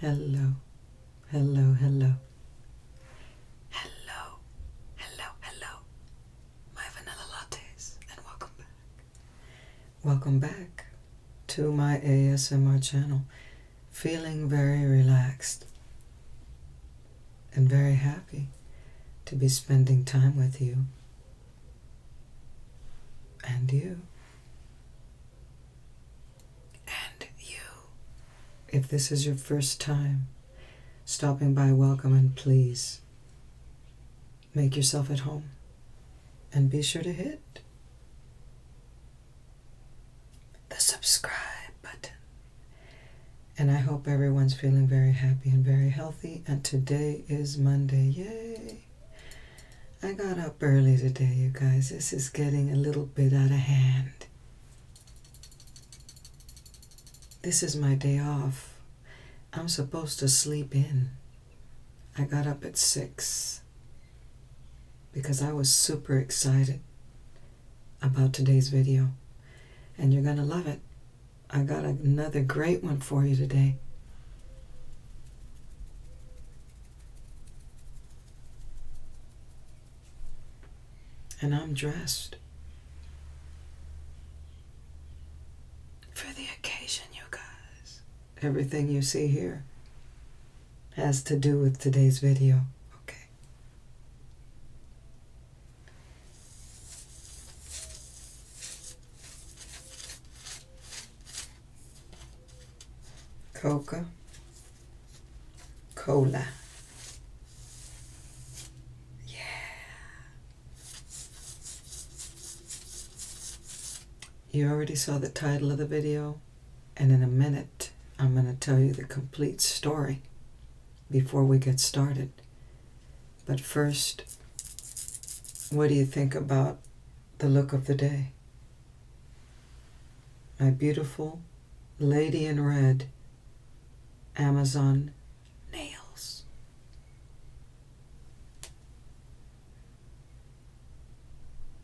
Hello. Hello. Hello, hello. Hello. Hello, My vanilla lattes and welcome back. Welcome back to my ASMR channel feeling very relaxed and very happy to be spending time with you and you. And you. If this is your first time stopping by, welcome and please make yourself at home and be sure to hit the subscribe button. And I hope everyone's feeling very happy and very healthy. And today is Monday. Yay! I got up early today, you guys. This is getting a little bit out of hand. This is my day off. I'm supposed to sleep in. I got up at 6 because I was super excited about today's video. And you're going to love it. I got another great one for you today. And I'm dressed for the occasion, you guys. Everything you see here has to do with today's video, okay? Coca Cola. Yeah. You already saw the title of the video, and in a minute, I'm going to tell you the complete story before we get started. But first, what do you think about the look of the day? My beautiful lady in red Amazon nails.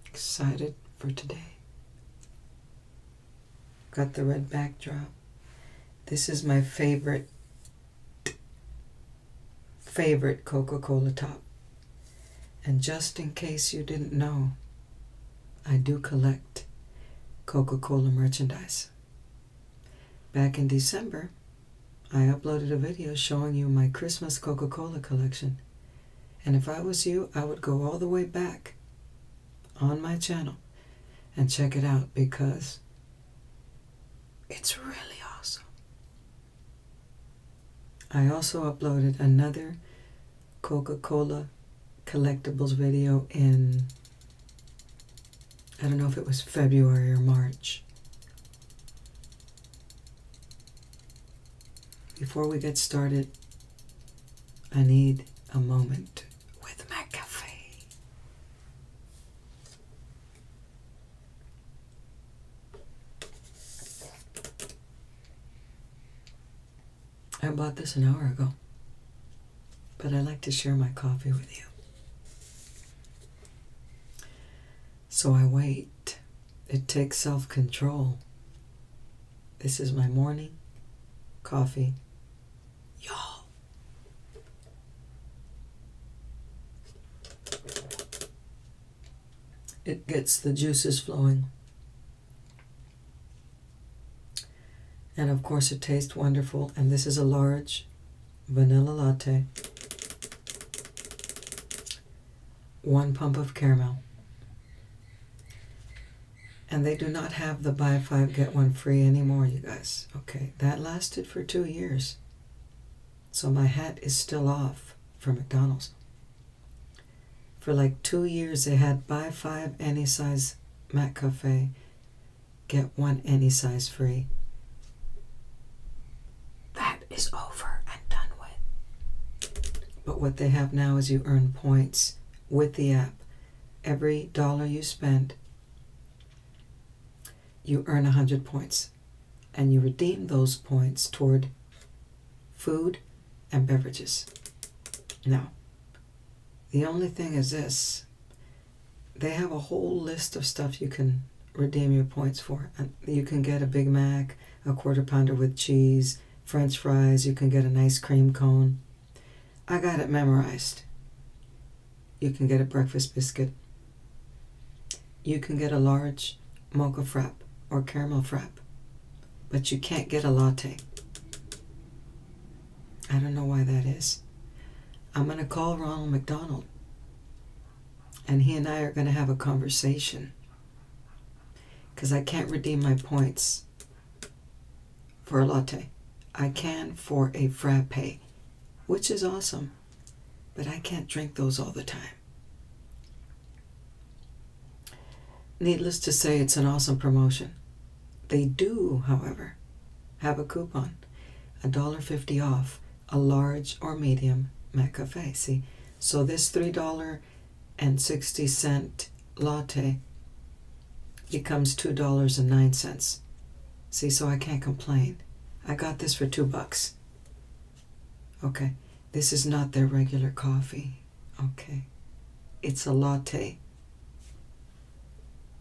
Excited for today. Got the red backdrop. This is my favorite, favorite Coca-Cola top. And just in case you didn't know, I do collect Coca-Cola merchandise. Back in December, I uploaded a video showing you my Christmas Coca-Cola collection. And if I was you, I would go all the way back on my channel and check it out because it's really awesome. I also uploaded another Coca Cola collectibles video in, I don't know if it was February or March. Before we get started, I need a moment with McAfee. I bought this an hour ago, but I like to share my coffee with you. So I wait. It takes self control this is my morning coffee. Y'all. It gets the juices flowing. And of course, it tastes wonderful. And this is a large vanilla latte, one pump of caramel. And they do not have the buy five, get one free anymore, you guys. Okay, that lasted for two years. So my hat is still off for McDonald's. For like two years, they had buy five any size Mac get one any size free. That is over and done with. But what they have now is you earn points with the app Every dollar you spend, you earn a 100 points, and you redeem those points toward food and beverages. Now, the only thing is this they have a whole list of stuff you can redeem your points for. you can get a Big Mac, a quarter pounder with cheese, french fries, you can get an ice cream cone. I got it memorized. You can get a breakfast biscuit. You can get a large mocha frapp or caramel frapp, but you can't get a latte. I don't know why that is. I'm going to call Ronald McDonald, and he and I are going to have a conversation because I can't redeem my points for a latte. I can for a frappe, which is awesome, but I can't drink those all the time. Needless to say, it's an awesome promotion. They do, however, have a coupon, a dollar fifty off a large or medium McCafe. See, so this $3 and 60 cent latte becomes $2.09. See, so I can't complain. I got this for 2 bucks. Okay. This is not their regular coffee. Okay. It's a latte.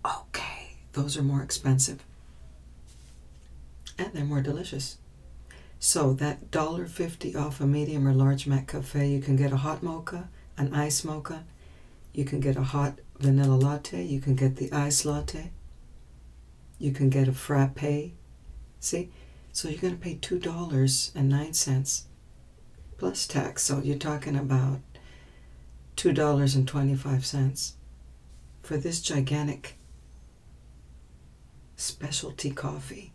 Okay. Those are more expensive. And they're more delicious. So that $1.50 off a medium or large Mac cafe, you can get a hot mocha, an ice mocha, you can get a hot vanilla latte. You can get the ice latte. You can get a frappe. See? So you're going to pay $2.09 plus tax. So you're talking about $2.25 for this gigantic specialty coffee.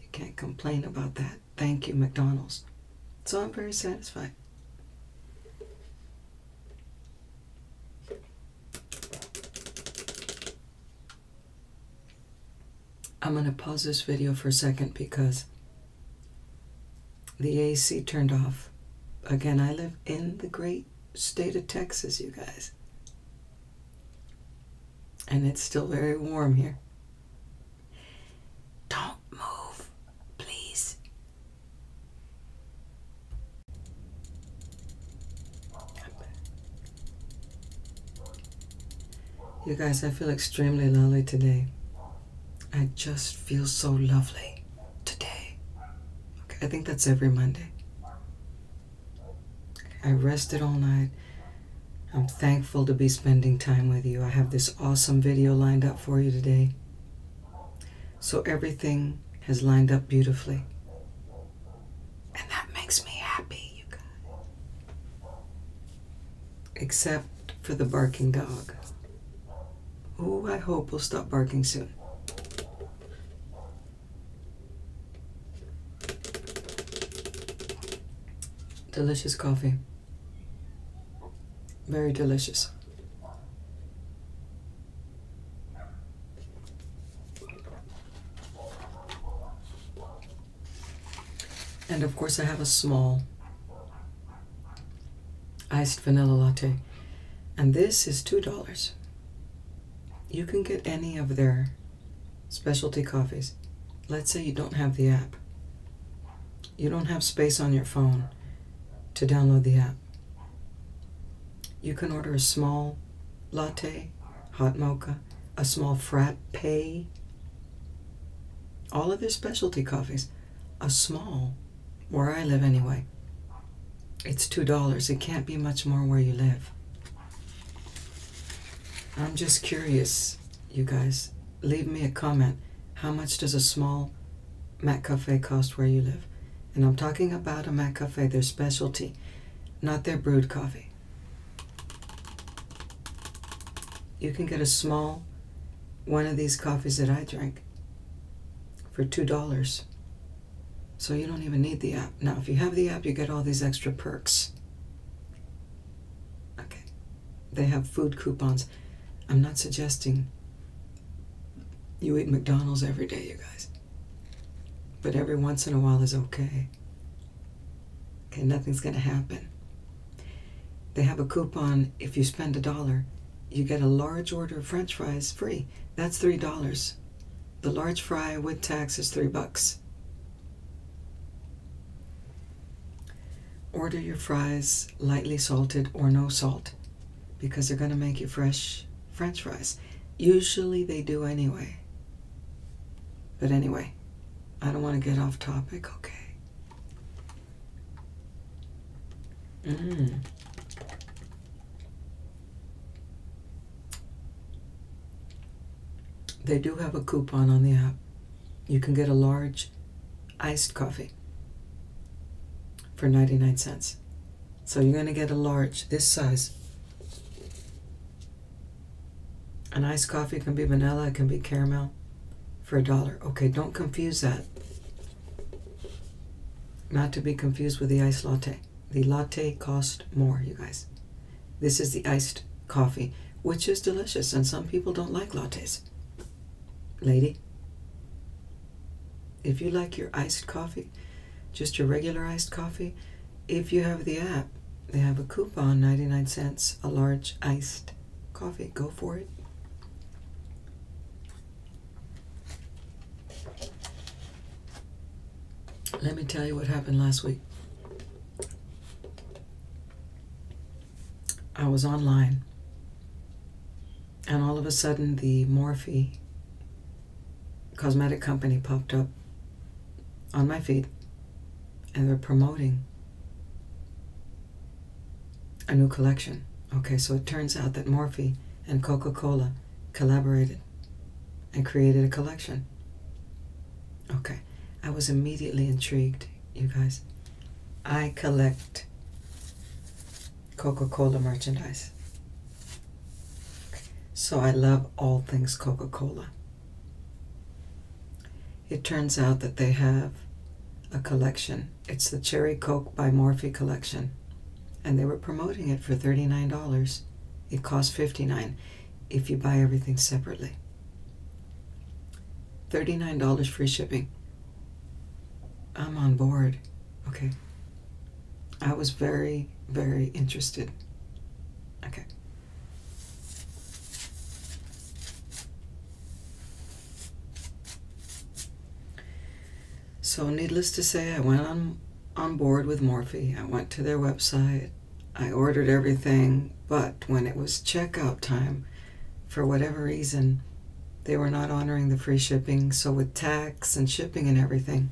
You can't complain about that. Thank you, McDonald's. So I'm very satisfied. I'm going to pause this video for a second because the AC turned off. Again, I live in the great state of Texas, you guys. And it's still very warm here. Don't move, please. You guys, I feel extremely lovely today. I just feel so lovely today. Okay, I think that's every Monday. I rested all night I'm thankful to be spending time with you. I have this awesome video lined up for you today. So everything has lined up beautifully. And that makes me happy, you guys. Except for the barking dog, who I hope will stop barking soon. Delicious coffee. Very delicious. And of course, I have a small iced vanilla latte. And this is $2. You can get any of their specialty coffees. Let's say you don't have the app. You don't have space on your phone to download the app. You can order a small latte, hot mocha, a small frappe, all of their specialty coffees. A small, where I live anyway. It's $2. It can't be much more where you live. I'm just curious you guys, leave me a comment. How much does a small Mac Cafe cost where you live? And I'm talking about a Mac Cafe, their specialty, not their brewed coffee. You can get a small one of these coffees that I drink for $2. So you don't even need the app. Now, if you have the app, you get all these extra perks. Okay. They have food coupons. I'm not suggesting you eat McDonald's every day, you guys. But every once in a while is okay. Okay, nothing's going to happen. They have a coupon. If you spend a dollar, you get a large order of french fries free. That's $3. The large fry with tax is 3 bucks. Order your fries lightly salted or no salt because they're going to make you fresh french fries. Usually they do anyway. But anyway, I don't want to get off topic, okay? Mmm. They do have a coupon on the app. You can get a large iced coffee for 99 cents. So you're going to get a large this size. An iced coffee can be vanilla, it can be caramel for a dollar. Okay, don't confuse that. Not to be confused with the iced latte. The latte cost more, you guys. This is the iced coffee, which is delicious, and some people don't like lattes. Lady, if you like your iced coffee, just your regular iced coffee, if you have the app, they have a coupon 99 cents, a large iced coffee. Go for it. Let me tell you what happened last week. I was online. And all of a sudden, the Morphe cosmetic company popped up on my feed, and they're promoting a new collection. Okay, so it turns out that Morphe and Coca Cola collaborated and created a collection. Okay, I was immediately intrigued, you guys. I collect Coca Cola merchandise. So I love all things Coca Cola. It turns out that they have a collection. It's the Cherry Coke by Morphy collection. And they were promoting it for $39. It costs $59 if you buy everything separately. $39 free shipping. I'm on board. Okay. I was very, very interested. Okay. So, needless to say, I went on, on board with Morphe. I went to their website. I ordered everything, but when it was checkout time, for whatever reason, they were not honoring the free shipping, so with tax and shipping and everything,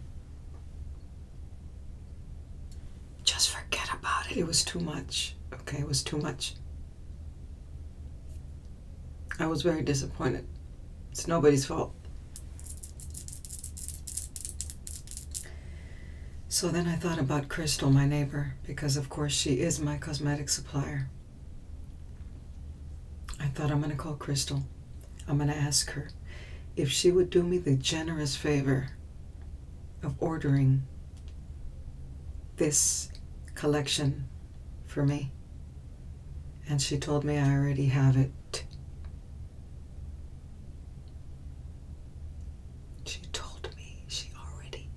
just forget about it. It was too much. Okay, it was too much. I was very disappointed. It's nobody's fault. So then I thought about Crystal, my neighbor, because of course she is my cosmetic supplier. I thought I'm going to call Crystal. I'm going to ask her if she would do me the generous favor of ordering this collection for me. And she told me I already have it. She told me she already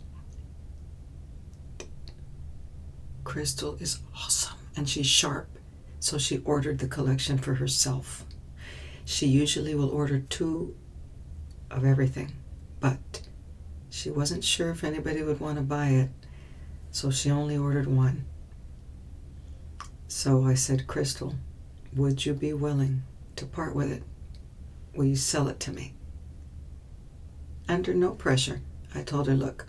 Crystal is awesome and she's sharp, so she ordered the collection for herself. She usually will order two of everything, but she wasn't sure if anybody would want to buy it, so she only ordered one. So I said, Crystal, would you be willing to part with it? Will you sell it to me? Under no pressure, I told her, Look,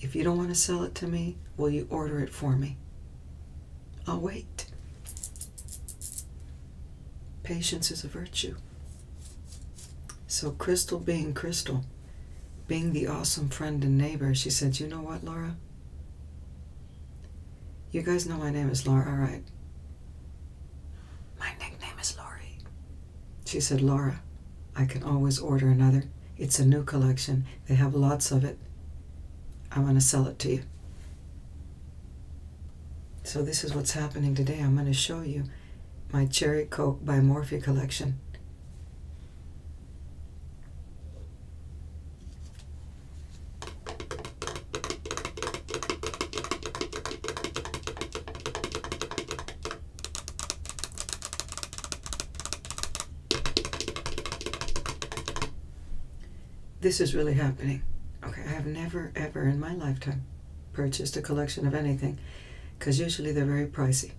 if you don't want to sell it to me, will you order it for me? I'll wait. Patience is a virtue. So, Crystal being Crystal, being the awesome friend and neighbor, she said, You know what, Laura? You guys know my name is Laura, right? My nickname is Laurie. She said, Laura, I can always order another. It's a new collection. They have lots of it. I want to sell it to you. So this is what's happening today. I'm going to show you my Cherry Coke by Morphe collection. This is really happening. Okay, I have never ever in my lifetime purchased a collection of anything because usually they're very pricey.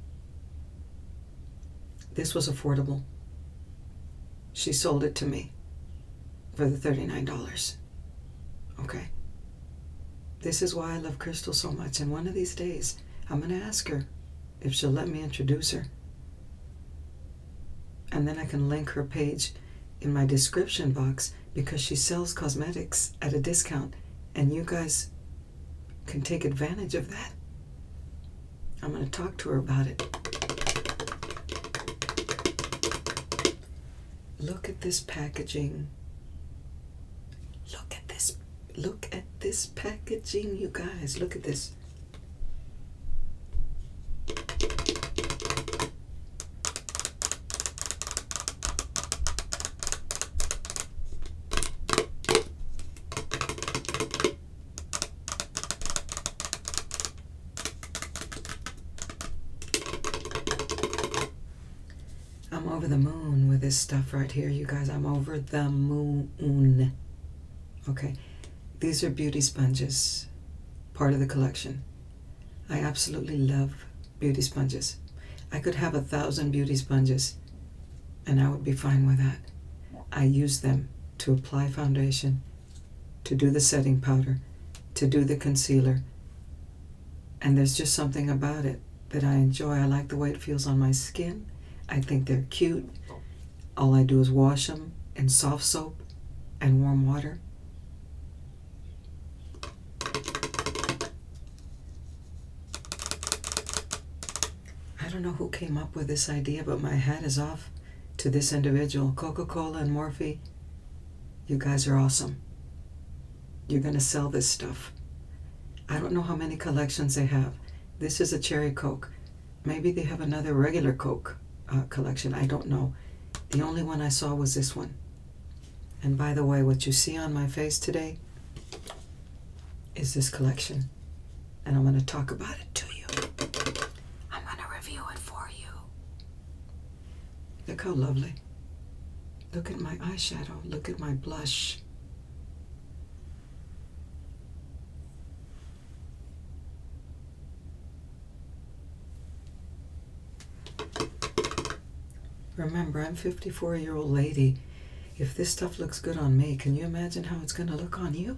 This was affordable. She sold it to me for the $39. Okay. This is why I love Crystal so much, and one of these days I'm going to ask her if she'll let me introduce her. And then I can link her page in my description box because she sells cosmetics at a discount, and you guys can take advantage of that. I'm going to talk to her about it. Look at this packaging. Look at this. Look at this packaging, you guys. Look at this. I'm over the moon with this stuff right here, you guys. I'm over the moon. Okay, these are beauty sponges, part of the collection. I absolutely love beauty sponges. I could have a thousand beauty sponges and I would be fine with that. I use them to apply foundation to do the setting powder, to do the concealer. And there's just something about it that I enjoy. I like the way it feels on my skin. I think they're cute. All I do is wash them in soft soap and warm water. I don't know who came up with this idea, but my hat is off to this individual. Coca Cola and Morphe you guys are awesome. You're going to sell this stuff. I don't know how many collections they have. This is a cherry Coke. Maybe they have another regular Coke uh, collection. I don't know. The only one I saw was this one. And by the way, what you see on my face today is this collection. And I'm going to talk about it to you. I'm going to review it for you. Look how lovely. Look at my eyeshadow. Look at my blush. Remember, I'm 54 year old lady. If this stuff looks good on me, can you imagine how it's going to look on you?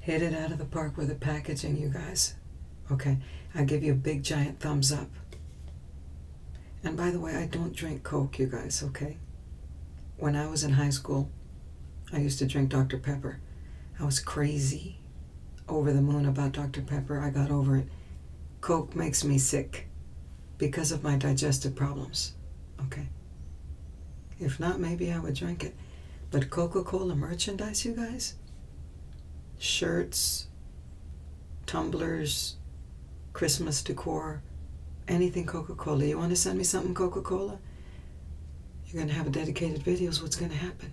Hit it out of the park with the packaging, you guys. Okay, i give you a big giant thumbs up. And by the way, I don't drink Coke, you guys, okay? When I was in high school, I used to drink Dr. Pepper. I was crazy over the moon about Dr. Pepper. I got over it. Coke makes me sick because of my digestive problems. Okay? If not, maybe I would drink it. But Coca Cola merchandise, you guys? Shirts, tumblers, Christmas decor, anything Coca Cola. You want to send me something Coca Cola? You're going to have a dedicated video. videos. What's going to happen?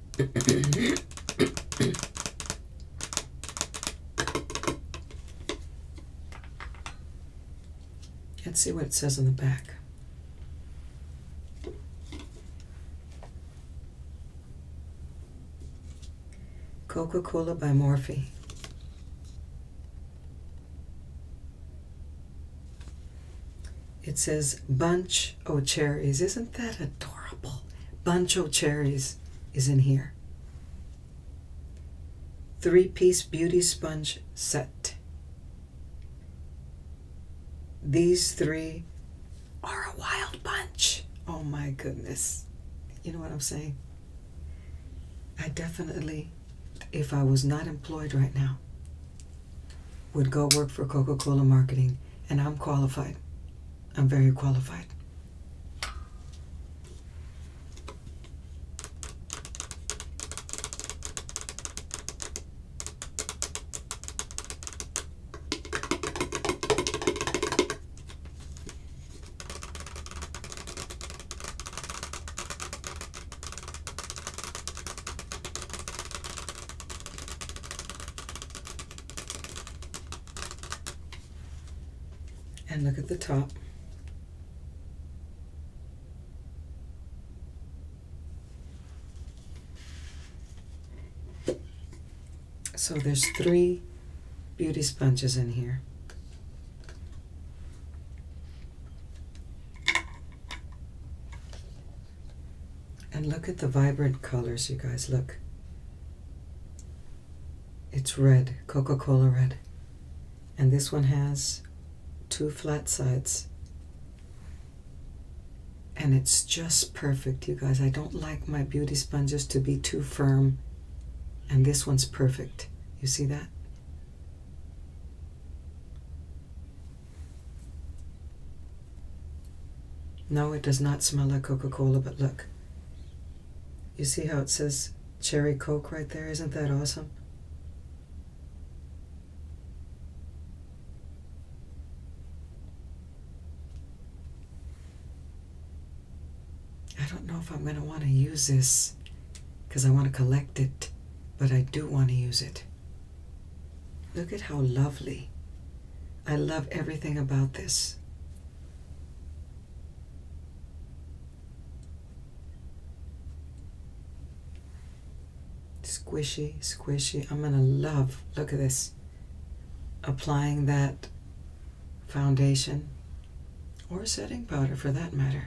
Let's see what it says on the back. Coca Cola by Morphy. It says bunch Oh cherries. Isn't that adorable? Bunch of cherries is in here. Three piece beauty sponge set. These three are a wild bunch. Oh my goodness. You know what I'm saying? I definitely, if I was not employed right now, would go work for Coca Cola marketing, and I'm qualified. I'm very qualified. And look at the top. So there's three beauty sponges in here. And look at the vibrant colors, you guys. Look. It's red, Coca Cola red. And this one has two flat sides. And it's just perfect, you guys. I don't like my beauty sponges to be too firm. And this one's perfect. You see that? No, it does not smell like Coca Cola, but look. You see how it says Cherry Coke right there? Isn't that awesome? I don't know if I'm going to want to use this because I want to collect it, but I do want to use it. Look at how lovely I love everything about this. Squishy, squishy. I'm going to love, look at this, applying that foundation or setting powder for that matter.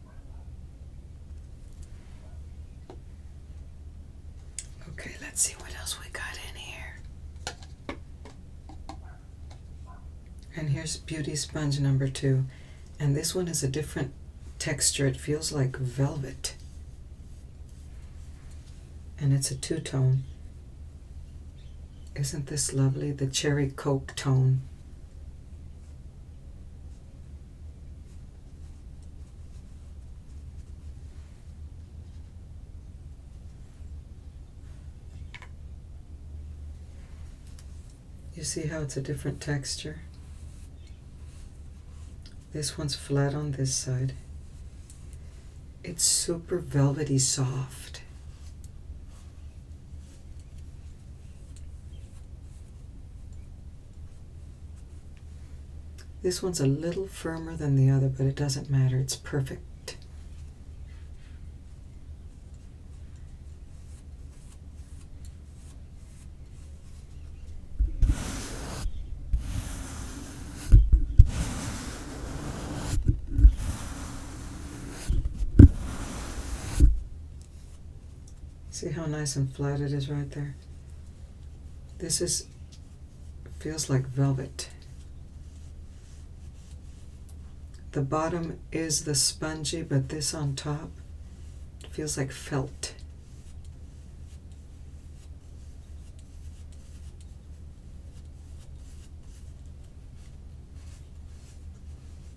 Okay, let's see what else we got in here. And here's Beauty Sponge number two. And this one is a different texture. It feels like velvet. And it's a two-tone. Isn't this lovely? The cherry coke tone. You see how it's a different texture? This one's flat on this side. It's super velvety soft. This one's a little firmer than the other, but it doesn't matter. It's perfect. See how nice and flat it is right there? This is, feels like velvet. The bottom is the spongy, but this on top feels like felt.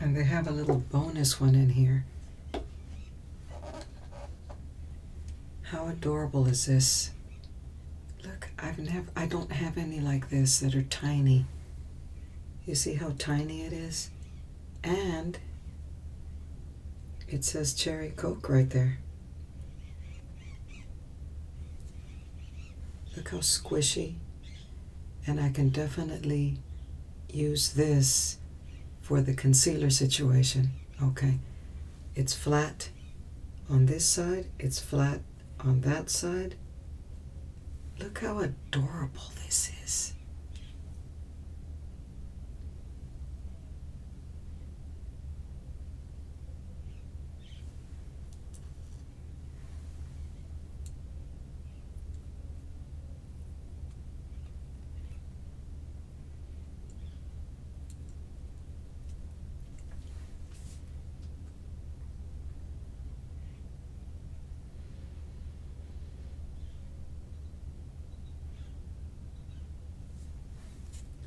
And they have a little bonus one in here. How adorable is this? Look, I've never I don't have any like this that are tiny. You see how tiny it is? And it says cherry coke right there. Look how squishy. And I can definitely use this for the concealer situation. Okay, it's flat on this side, it's flat on that side. Look how adorable this is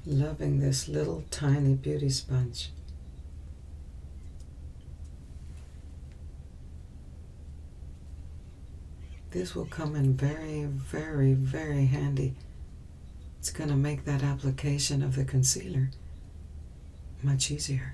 loving this little tiny beauty sponge. This will come in very, very, very handy. It's going to make that application of the concealer much easier.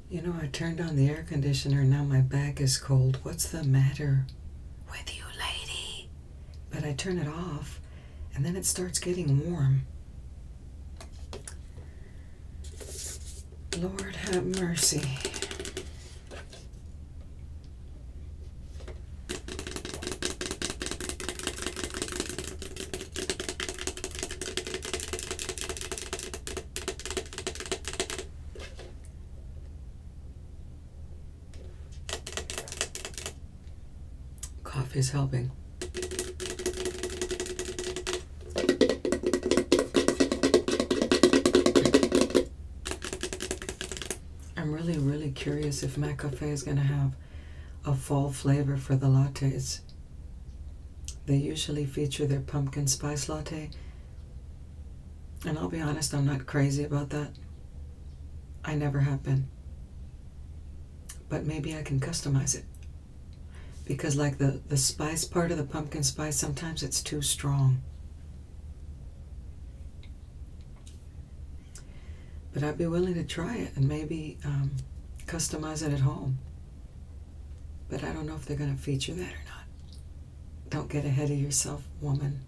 You know, I turned on the air conditioner, now my back is cold. What's the matter with you, lady? But I turn it off, and then it starts getting warm. Lord have mercy. Coffee is helping. I'm really, really curious if McCafe is going to have a fall flavor for the lattes. They usually feature their pumpkin spice latte and I'll be honest, I'm not crazy about that. I never have been. But maybe I can customize it. Because like the, the spice part of the pumpkin spice, sometimes it's too strong. But I'd be willing to try it and maybe um, customize it at home. But I don't know if they're going to feature that or not. Don't get ahead of yourself, woman.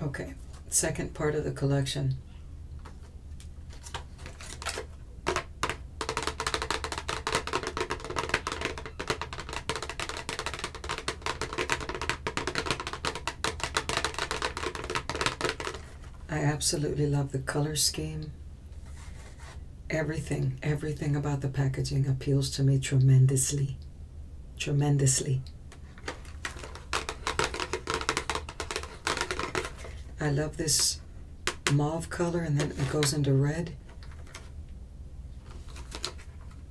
Okay, second part of the collection. I absolutely love the color scheme. Everything, everything about the packaging appeals to me tremendously. Tremendously. I love this mauve color and then it goes into red.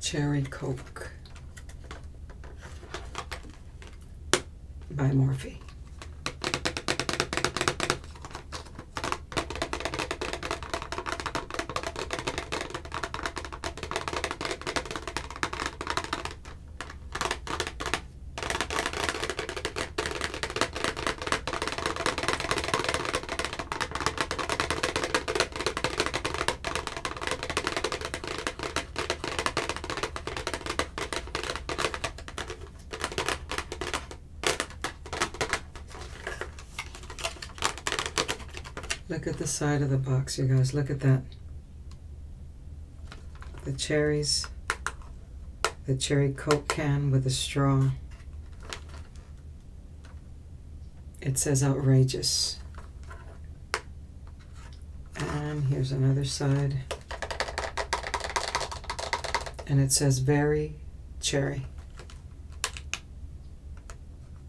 Cherry Coke by Morphe. Look at the side of the box, you guys. Look at that the cherries, the cherry Coke can with a straw. It says outrageous. And here's another side. And it says very cherry.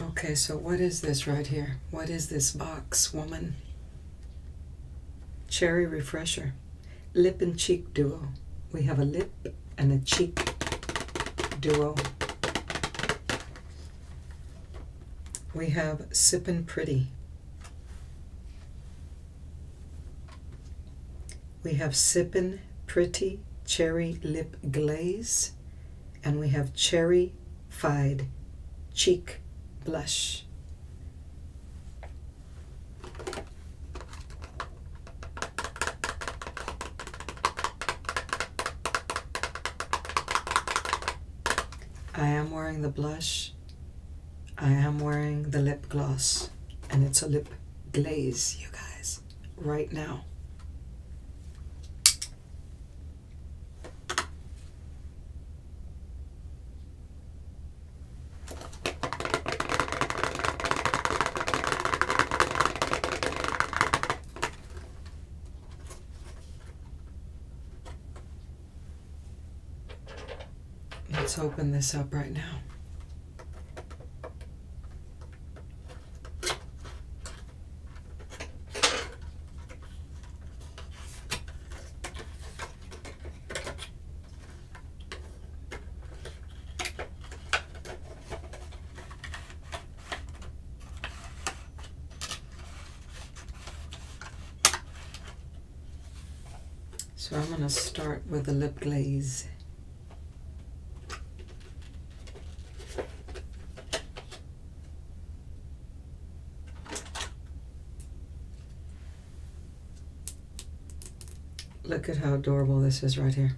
Okay, so what is this right here? What is this box, woman? Cherry Refresher. Lip and cheek duo. We have a lip and a cheek duo we have Sippin' Pretty. We have Sippin' Pretty Cherry Lip Glaze. And we have Cherry Fied Cheek Blush. I am wearing the blush. I am wearing the lip gloss. And it's a lip glaze, you guys, right now. Let's open this up right now. So I'm going to start with the lip glaze. Look at how adorable this is right here.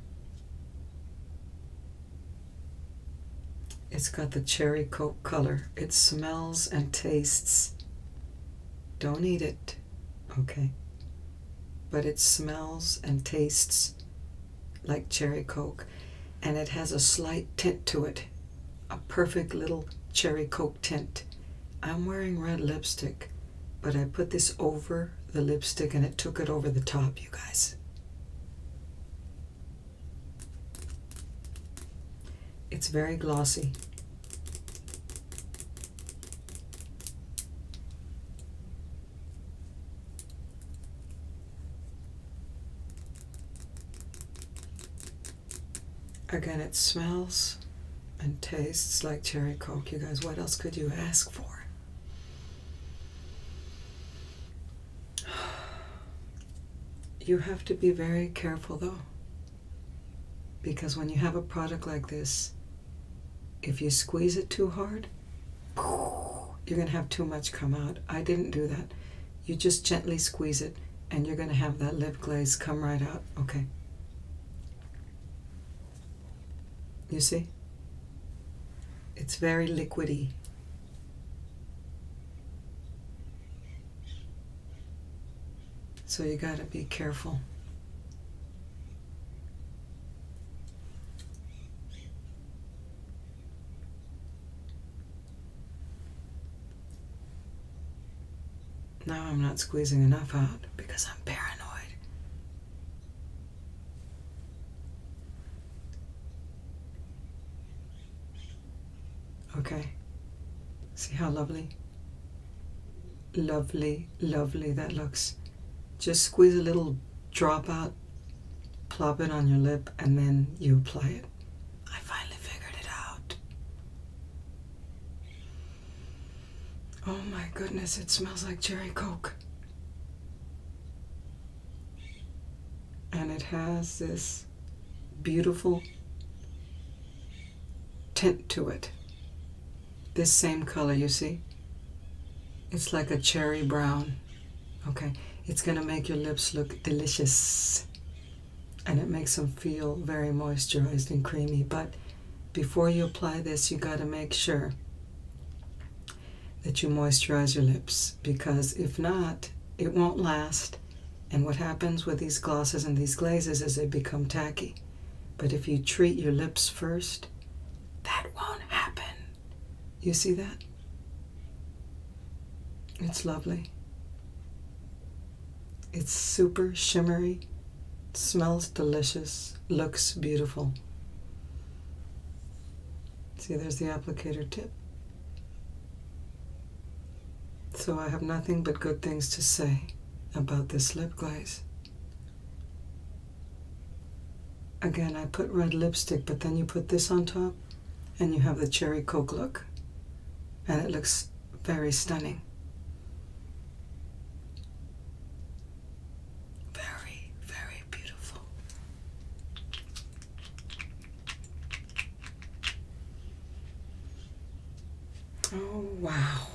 It's got the cherry coke color. It smells and tastes. Don't eat it, okay? But it smells and tastes like cherry coke, and it has a slight tint to it, a perfect little cherry coke tint. I'm wearing red lipstick, but I put this over the lipstick and it took it over the top, you guys. It's very glossy. Again, it smells and tastes like cherry coke. You guys, what else could you ask for? You have to be very careful though. Because when you have a product like this, if you squeeze it too hard, you're going to have too much come out. I didn't do that. You just gently squeeze it and you're going to have that lip glaze come right out. Okay. You see? It's very liquidy. So you got to be careful. Now I'm not squeezing enough out because I'm paranoid. Okay. See how lovely? Lovely, lovely that looks. Just squeeze a little drop out, plop it on your lip, and then you apply it. I finally figured it out. Oh my goodness, it smells like cherry coke and it has this beautiful tint to it. This same color, you see? It's like a cherry brown. Okay, it's going to make your lips look delicious. And it makes them feel very moisturized and creamy. But before you apply this, you got to make sure that you moisturize your lips because if not, it won't last. And what happens with these glosses and these glazes is they become tacky. But if you treat your lips first, that won't happen. You see that? It's lovely. It's super shimmery, smells delicious, looks beautiful. See, there's the applicator tip. So I have nothing but good things to say about this lip glaze. Again, I put red lipstick, but then you put this on top and you have the cherry coke look. And it looks very stunning. Very, very beautiful. Oh, wow.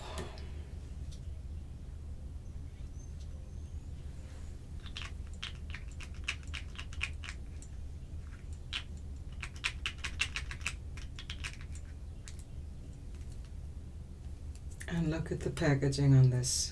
And look at the packaging on this.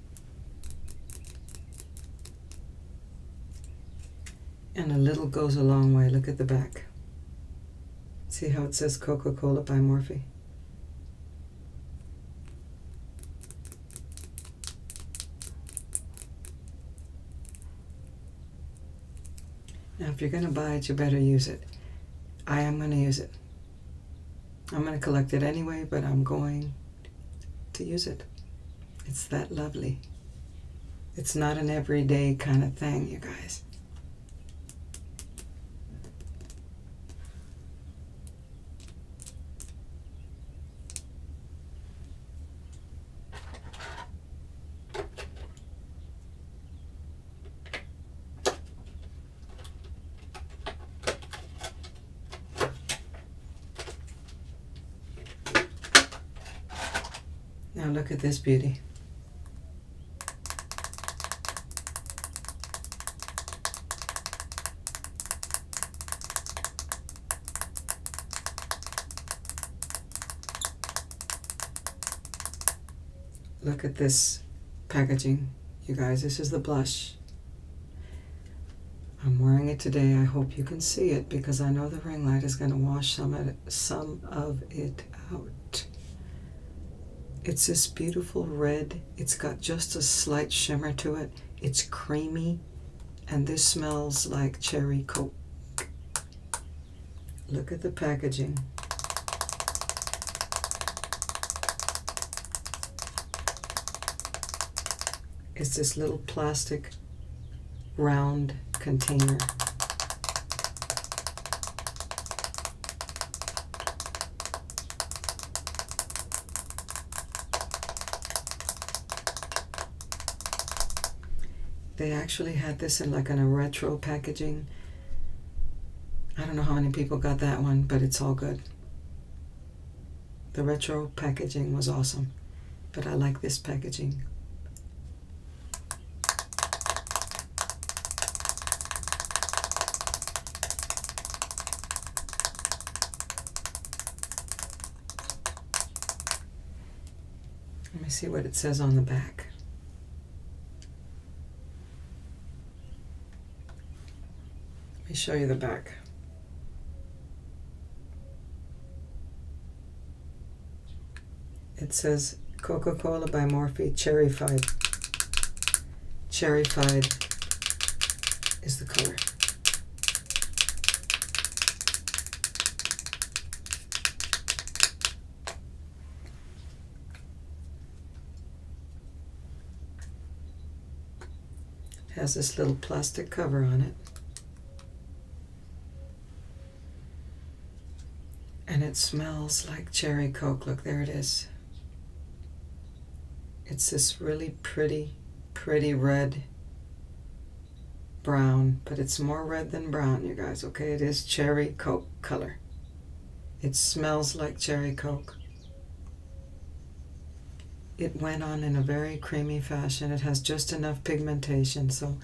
And a little goes a long way. Look at the back. See how it says Coca-Cola by Morphy. Now, if you're going to buy it, you better use it. I am going to use it. I'm going to collect it anyway, but I'm going to use it. It's that lovely. It's not an everyday kind of thing, you guys. Now look at this beauty. Look at this packaging, you guys. This is the blush. I'm wearing it today. I hope you can see it because I know the ring light is going to wash some of it, out. It's this beautiful red. It's got just a slight shimmer to it. It's creamy and this smells like cherry coke. Look at the packaging. It's this little plastic round container. They actually had this in like in a retro packaging. I don't know how many people got that one, but it's all good. The retro packaging was awesome, but I like this packaging. Let me see what it says on the back. Let me show you the back. It says Coca-Cola by Morphy Cherry Morphe Cherry Cherryfied is the color. It has this little plastic cover on it. And it smells like cherry coke. Look, there it is. It's this really pretty, pretty red brown, but it's more red than brown, you guys, okay? It is cherry coke color. It smells like cherry coke. It went on in a very creamy fashion. It has just enough pigmentation, so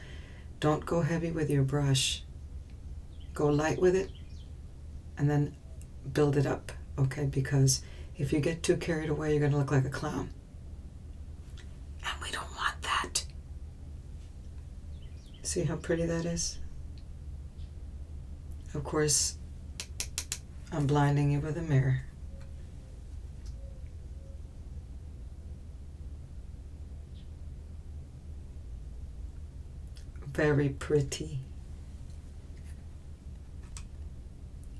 don't go heavy with your brush. Go light with it and then build it up, okay? Because if you get too carried away, you're going to look like a clown. And we don't want that. See how pretty that is? Of course, I'm blinding you with a mirror. Very pretty.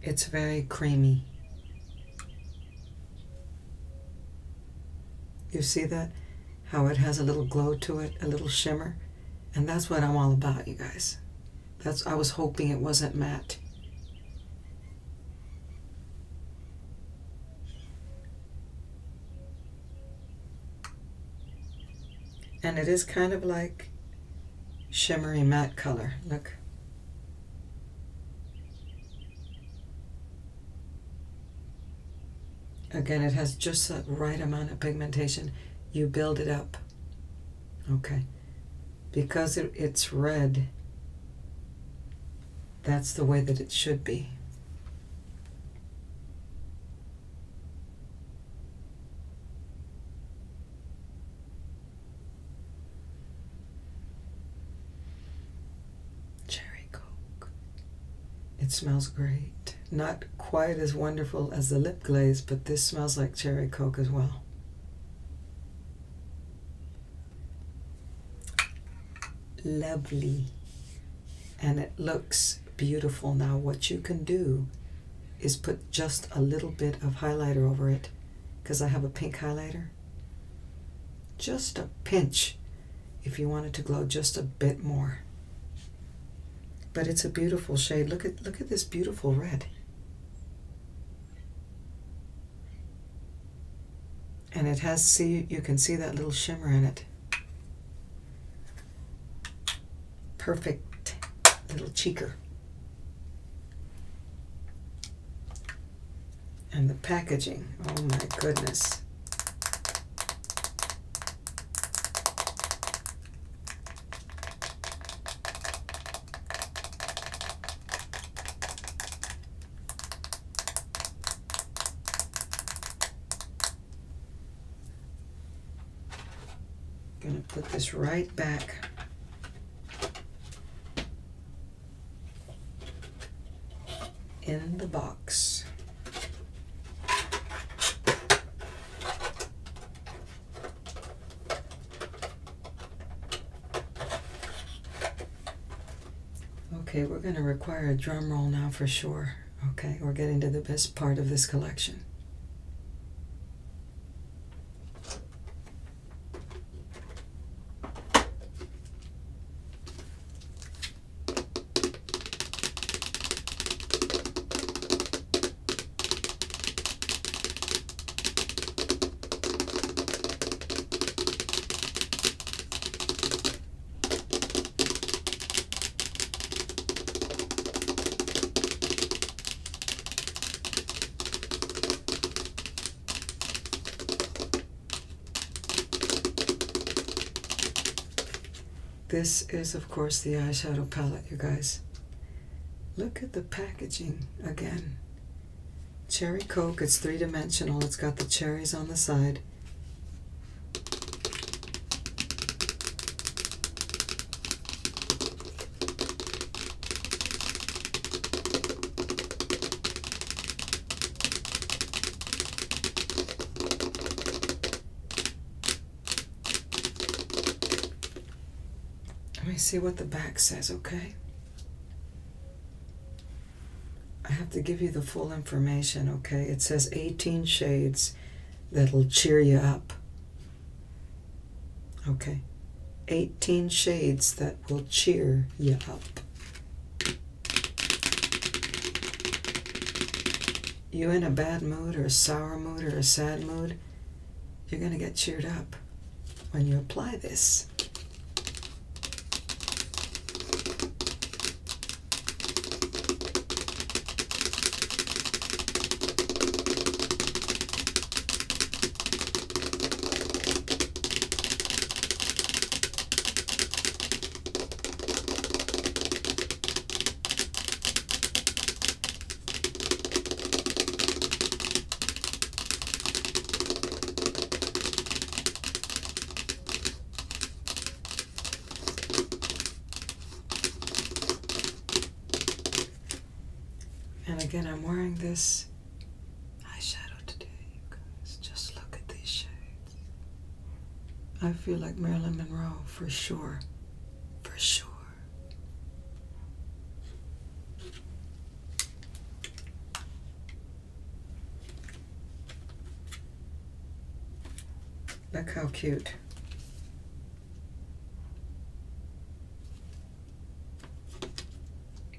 It's very creamy. You see that? How it has a little glow to it, a little shimmer. And that's what I'm all about, you guys. That's I was hoping it wasn't matte. And it is kind of like shimmery matte color. Look. Again, it has just the right amount of pigmentation. You build it up. Okay because it's red, that's the way that it should be. Cherry Coke. It smells great. Not quite as wonderful as the lip glaze, but this smells like cherry Coke as well. Lovely. And it looks beautiful now. What you can do is put just a little bit of highlighter over it because I have a pink highlighter. Just a pinch if you want it to glow just a bit more. But it's a beautiful shade. Look at look at this beautiful red. And it has, see, you can see that little shimmer in it. Perfect little cheeker. And the packaging, oh my goodness. Gonna put this right back. in the box. Okay, we're going to require a drum roll now for sure. Okay, we're getting to the best part of this collection. This is, of course, the eyeshadow palette, you guys. Look at the packaging again. Cherry Coke, it's three dimensional. It's got the cherries on the side. Let me see what the back says, okay? I have to give you the full information, okay? It says 18 shades that'll cheer you up. Okay. 18 shades that will cheer you up. You in a bad mood or a sour mood or a sad mood? You're going to get cheered up when you apply this. And again, I'm wearing this eyeshadow today, you guys. Just look at these shades. I feel like Marilyn Monroe for sure. For sure. Look how cute.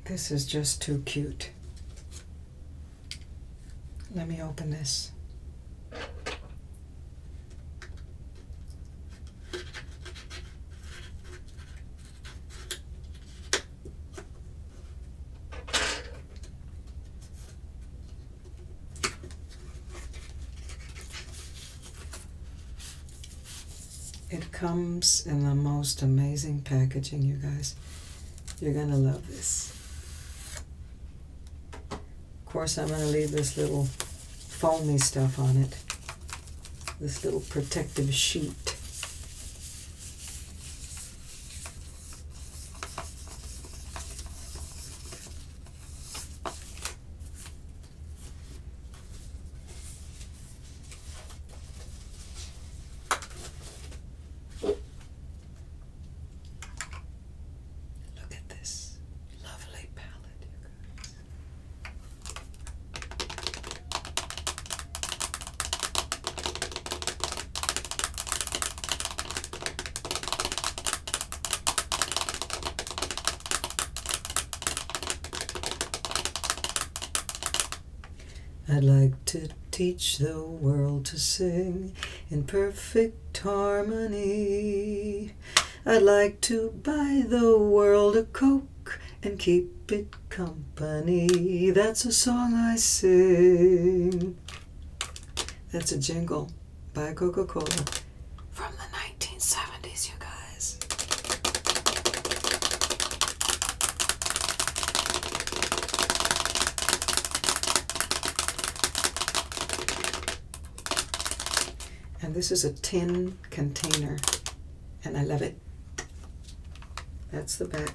This is just too cute. Let me open this. It comes in the most amazing packaging, you guys. You're going to love this. Of course, I'm going to leave this little foamy stuff on it this little protective sheet. Look at this lovely palette, you guys. I'd like to teach the world to sing in perfect harmony. I'd like to buy the world a Coke and keep it company. That's a song I sing. That's a jingle by Coca Cola from the 1970s, you guys. And this is a tin container, and I love it. That's the back.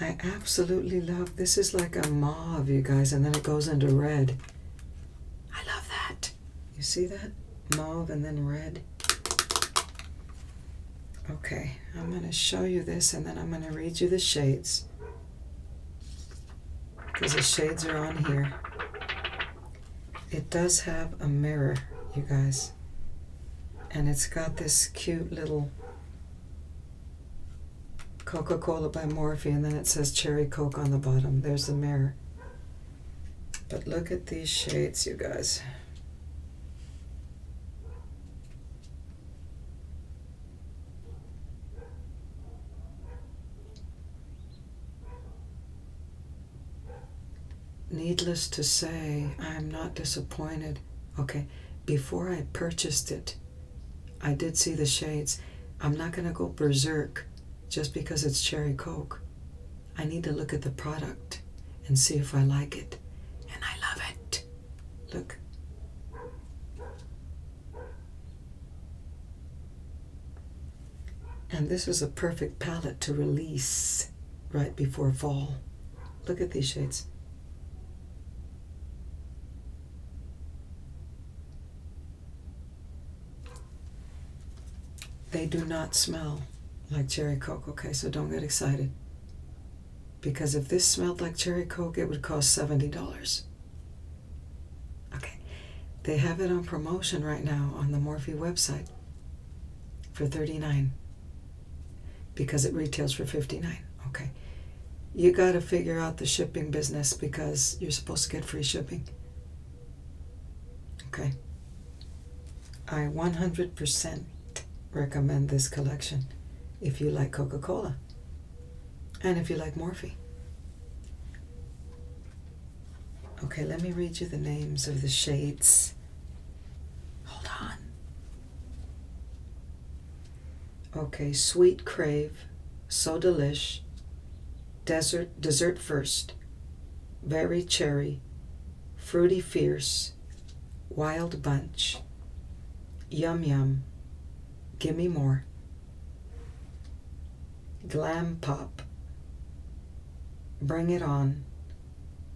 I absolutely love this is like a mauve, you guys, and then it goes into red. I love that. You see that? Mauve and then red. Okay, I'm going to show you this and then I'm going to read you the shades. Because the shades are on here. It does have a mirror, you guys. And it's got this cute little Coca Cola by Morphy, and then it says Cherry Coke on the bottom. There's the mirror. But look at these shades, you guys. Needless to say, I'm not disappointed. Okay, before I purchased it, I did see the shades. I'm not going to go berserk just because it's Cherry Coke. I need to look at the product and see if I like it. And I love it. Look. And this is a perfect palette to release right before fall. Look at these shades. They do not smell like cherry coke, okay? So don't get excited. Because if this smelled like cherry coke, it would cost $70. Okay. They have it on promotion right now on the Morphe website for 39 because it retails for 59 okay you got to figure out the shipping business because you're supposed to get free shipping. Okay. I 100% recommend this collection if you like Coca Cola and if you like Morphe. Okay, let me read you the names of the shades. Hold on. Okay, sweet crave, so delish, Dessert, dessert first, very cherry, fruity fierce, wild bunch, yum yum, gimme more, glam pop, bring it on,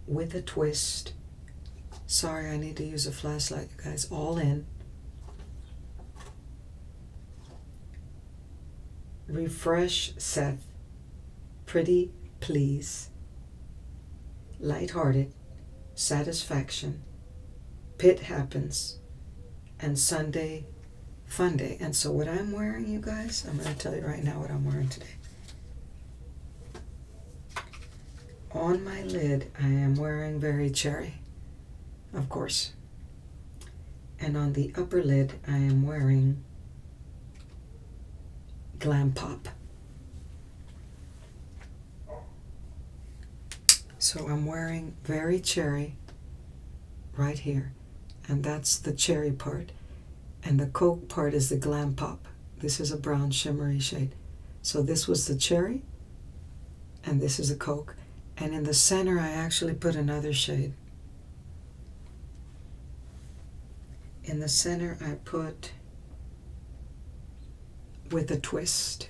with a twist. Sorry, I need to use a flashlight you guys, all in. Refresh Seth. Pretty please. Lighthearted. Satisfaction. Pit happens. And Sunday fun day. And so what I'm wearing, you guys, I'm going to tell you right now what I'm wearing today. On my lid, I am wearing Berry Cherry of course. And on the upper lid, I am wearing Glam Pop. So I'm wearing Very Cherry right here. And that's the cherry part. And the Coke part is the Glam Pop. This is a brown shimmery shade. So this was the cherry and this is a Coke. And in the center, I actually put another shade. In the center, I put with a twist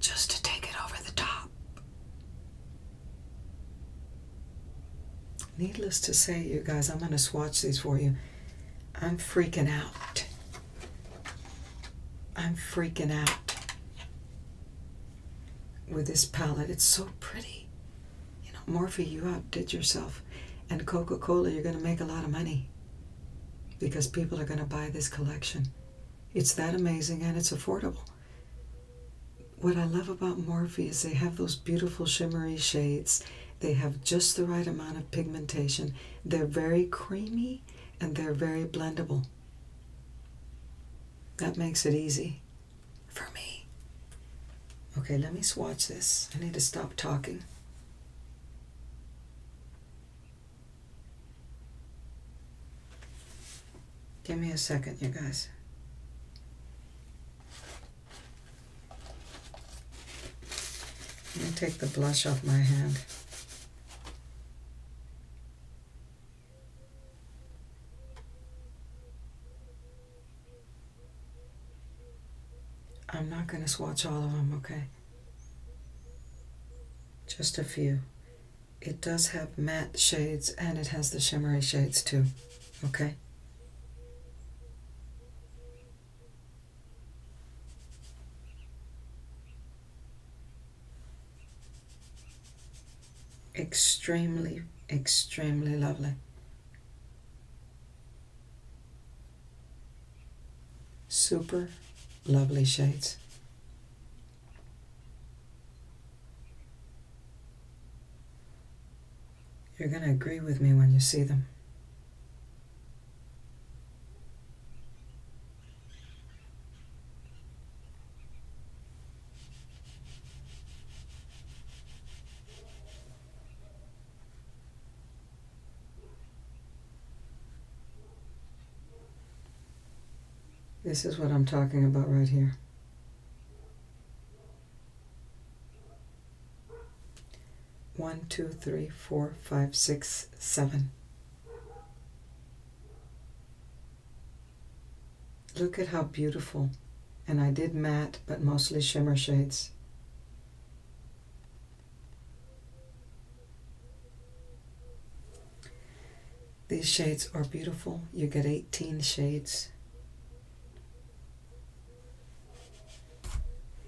just to take it over the top. Needless to say, you guys, I'm going to swatch these for you. I'm freaking out. I'm freaking out with this palette. It's so pretty. You know, Morphe, you outdid yourself. And Coca-Cola, you're going to make a lot of money because people are going to buy this collection. It's that amazing and it's affordable. What I love about Morphe is they have those beautiful shimmery shades. They have just the right amount of pigmentation. They're very creamy and they're very blendable. That makes it easy for me. Okay, let me swatch this. I need to stop talking. Give me a second, you guys. Let me take the blush off my hand. I'm not going to swatch all of them, okay? Just a few. It does have matte shades and it has the shimmery shades too, okay? Extremely, extremely lovely. Super lovely shades. You're going to agree with me when you see them. This is what I'm talking about right here. One, two, three, four, five, six, seven. Look at how beautiful, and I did matte but mostly shimmer shades. These shades are beautiful. You get 18 shades.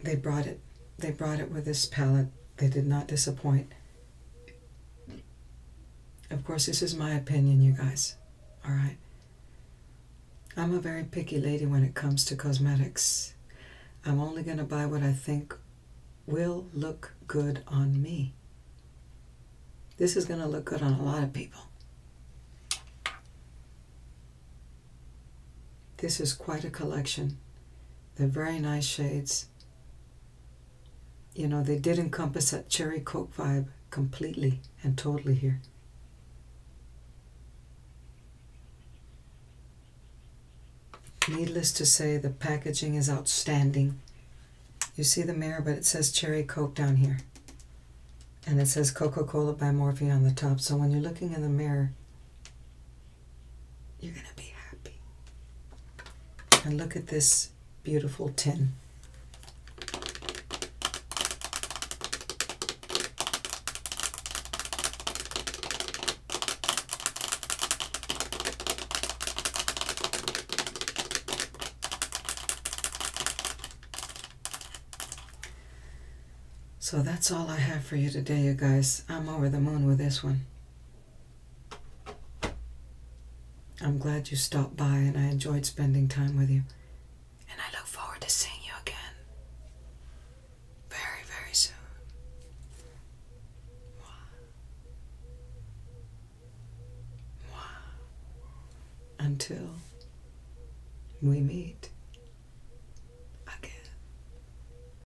They brought it. They brought it with this palette. They did not disappoint. Of course, this is my opinion, you guys. All right. I'm a very picky lady when it comes to cosmetics. I'm only going to buy what I think will look good on me. This is going to look good on a lot of people. This is quite a collection. They're very nice shades. You know, they did encompass that cherry coke vibe completely and totally here. Needless to say, the packaging is outstanding. You see the mirror, but it says Cherry Coke down here. And it says Coca-Cola by Morphe on the top. So when you're looking in the mirror, you're going to be happy. And look at this beautiful tin. So that's all I have for you today, you guys. I'm over the moon with this one. I'm glad you stopped by and I enjoyed spending time with you. And I look forward to seeing you again very, very soon. Until we meet again.